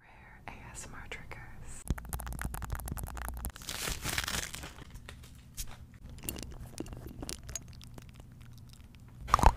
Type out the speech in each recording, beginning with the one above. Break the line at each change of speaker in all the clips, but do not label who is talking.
Rare ASMR triggers. Hello,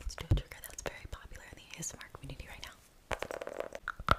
Let's do a trigger that's very popular in the ASMR community right now.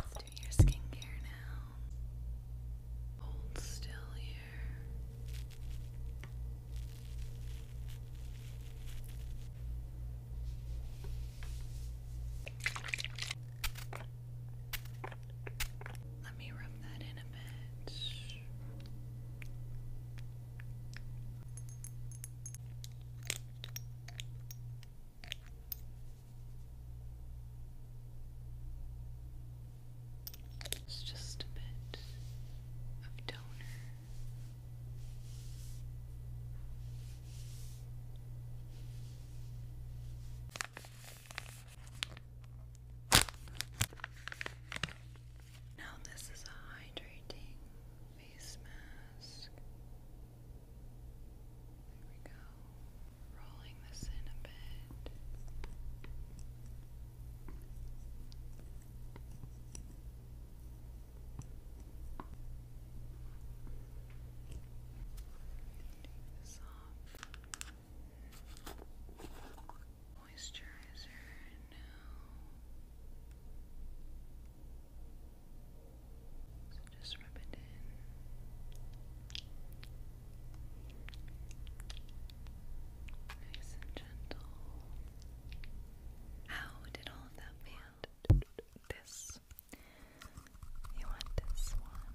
let do your skincare now. Hold still here. Let me rub that in a bit. It's just a bit of toner. Now, this is a hydrating face mask. There we go. Rolling this in a bit. Take Moisturizer now. So just rub it in. Nice and gentle. How did all of that feel? This. You want this one?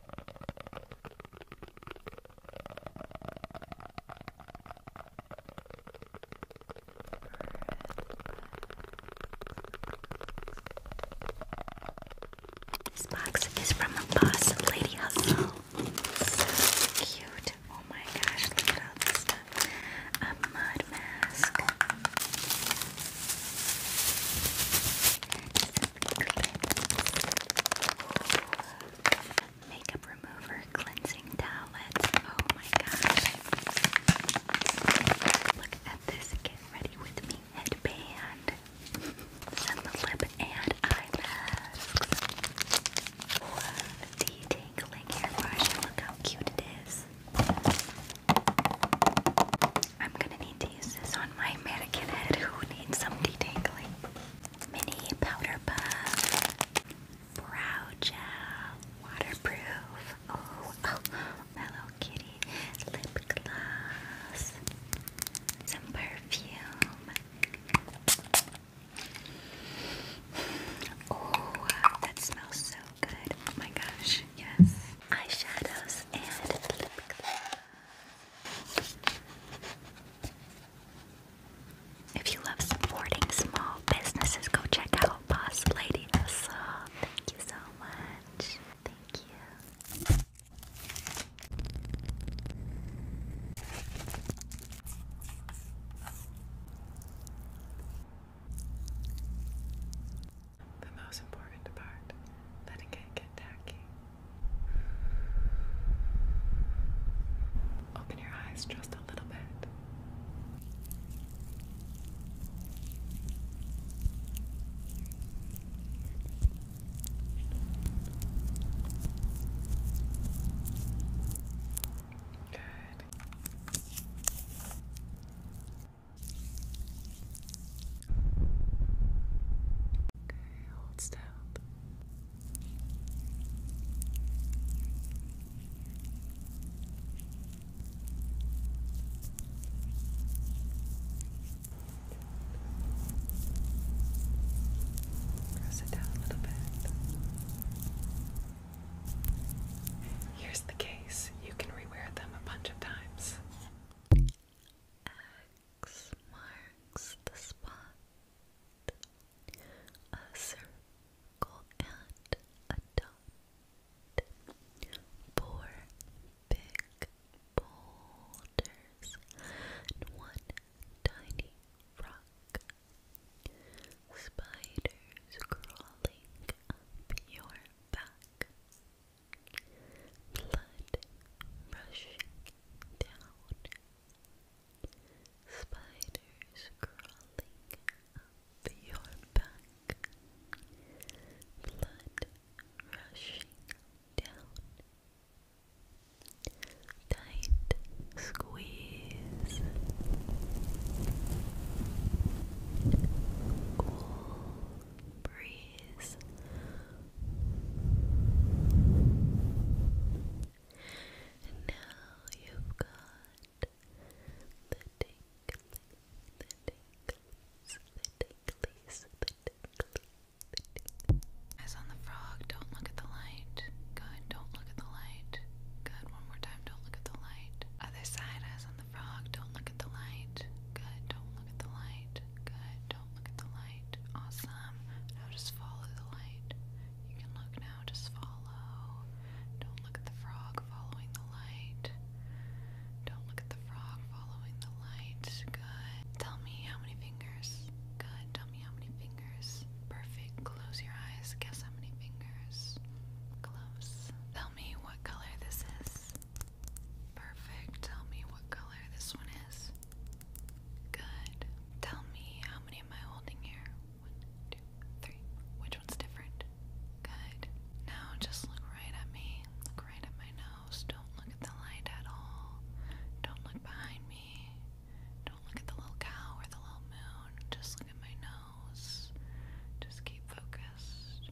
This box is from a boss of Lady Hustle. So cute. Oh my gosh, look at all this stuff. A mud mask. Makeup remover, cleansing towelette. Oh my gosh. Look at this Get Ready With Me headband. lip and eye masks. Love hairbrush. Look how cute it is. I'm gonna need to use this on my mannequin head who needs some detangling. Mini powder puff, brow gel, waterproof. Oh, oh, Hello Kitty lip gloss, some perfume. Oh, that smells so good. Oh my gosh, yes. Eyeshadows and lip gloss. If you love supporting small businesses, go check out Boss Lady Hustle. Thank you so much. Thank you.
The most important part, letting it get tacky. Open your eyes just a little bit. Good. Okay, hold still. Press it down a little bit. Here's the case. You can rewear them a bunch of times.
Uh, X marks the spot. A circle and a dot. Four big boulders one tiny rock. Spiders crawling up your back blood rushing down, spiders crawling up your back, blood rushing down,
tight squeeze, cool breeze and you Eyes on the frog, don't look at the light. Good, don't look at the light. Good, one more time, don't look at the light. Other side, eyes on the frog, don't look at the light. Good, don't look at the light light. Good. Don't look at the light. Awesome. Now just follow the light. You can look now. Just follow. Don't look at the frog following the light. Don't look at the frog following the light. Good. Tell me how many fingers. Good. Tell me how many fingers. Perfect. Close your eyes. Guess how many fingers. Close. Tell me what color this is. Perfect. Tell me what color this one is. Good. Tell me how many am I holding here? One, two, three. Which one's different? Good. Now just look right at me. Look right at my nose. Don't look at the light at all. Don't look behind me. Don't look at the little cow or the little moon. Just look at my nose. Just keep focused.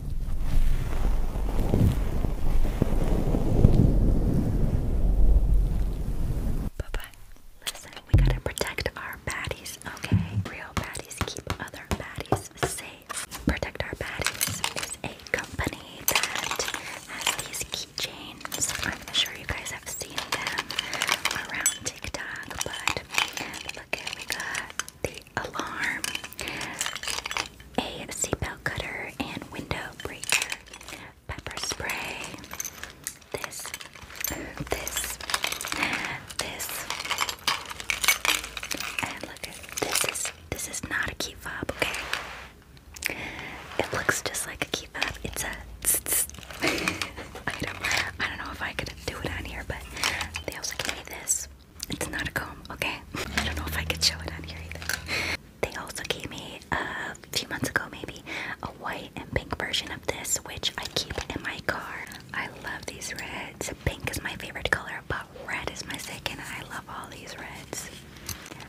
Bye bye. Listen, we gotta protect our baddies, okay? Real baddies keep other baddies safe. Protect Our Baddies is a company that has these keychains. I'm sure you guys have seen them around TikTok, but look we got the alarm, a seatbelt cutter and window breaker, pepper spray, this, this, this, and look at this is this is not a key fob, okay? It looks just like a key fob. It's a tss, I don't know if I could do it on here, but they also gave me this. It's not a comb, okay? I don't know if I could show it on here either. They also gave me uh, a few months ago, maybe, a white and pink version of this, which I keep in my car. I love these reds. Pink is my favorite color, but red is my second. I love all these reds.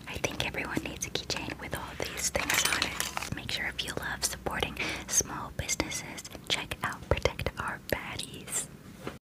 I think everyone needs a keychain with all these things on it. Make sure if you love supporting small businesses, check out Protect
Our Baddies.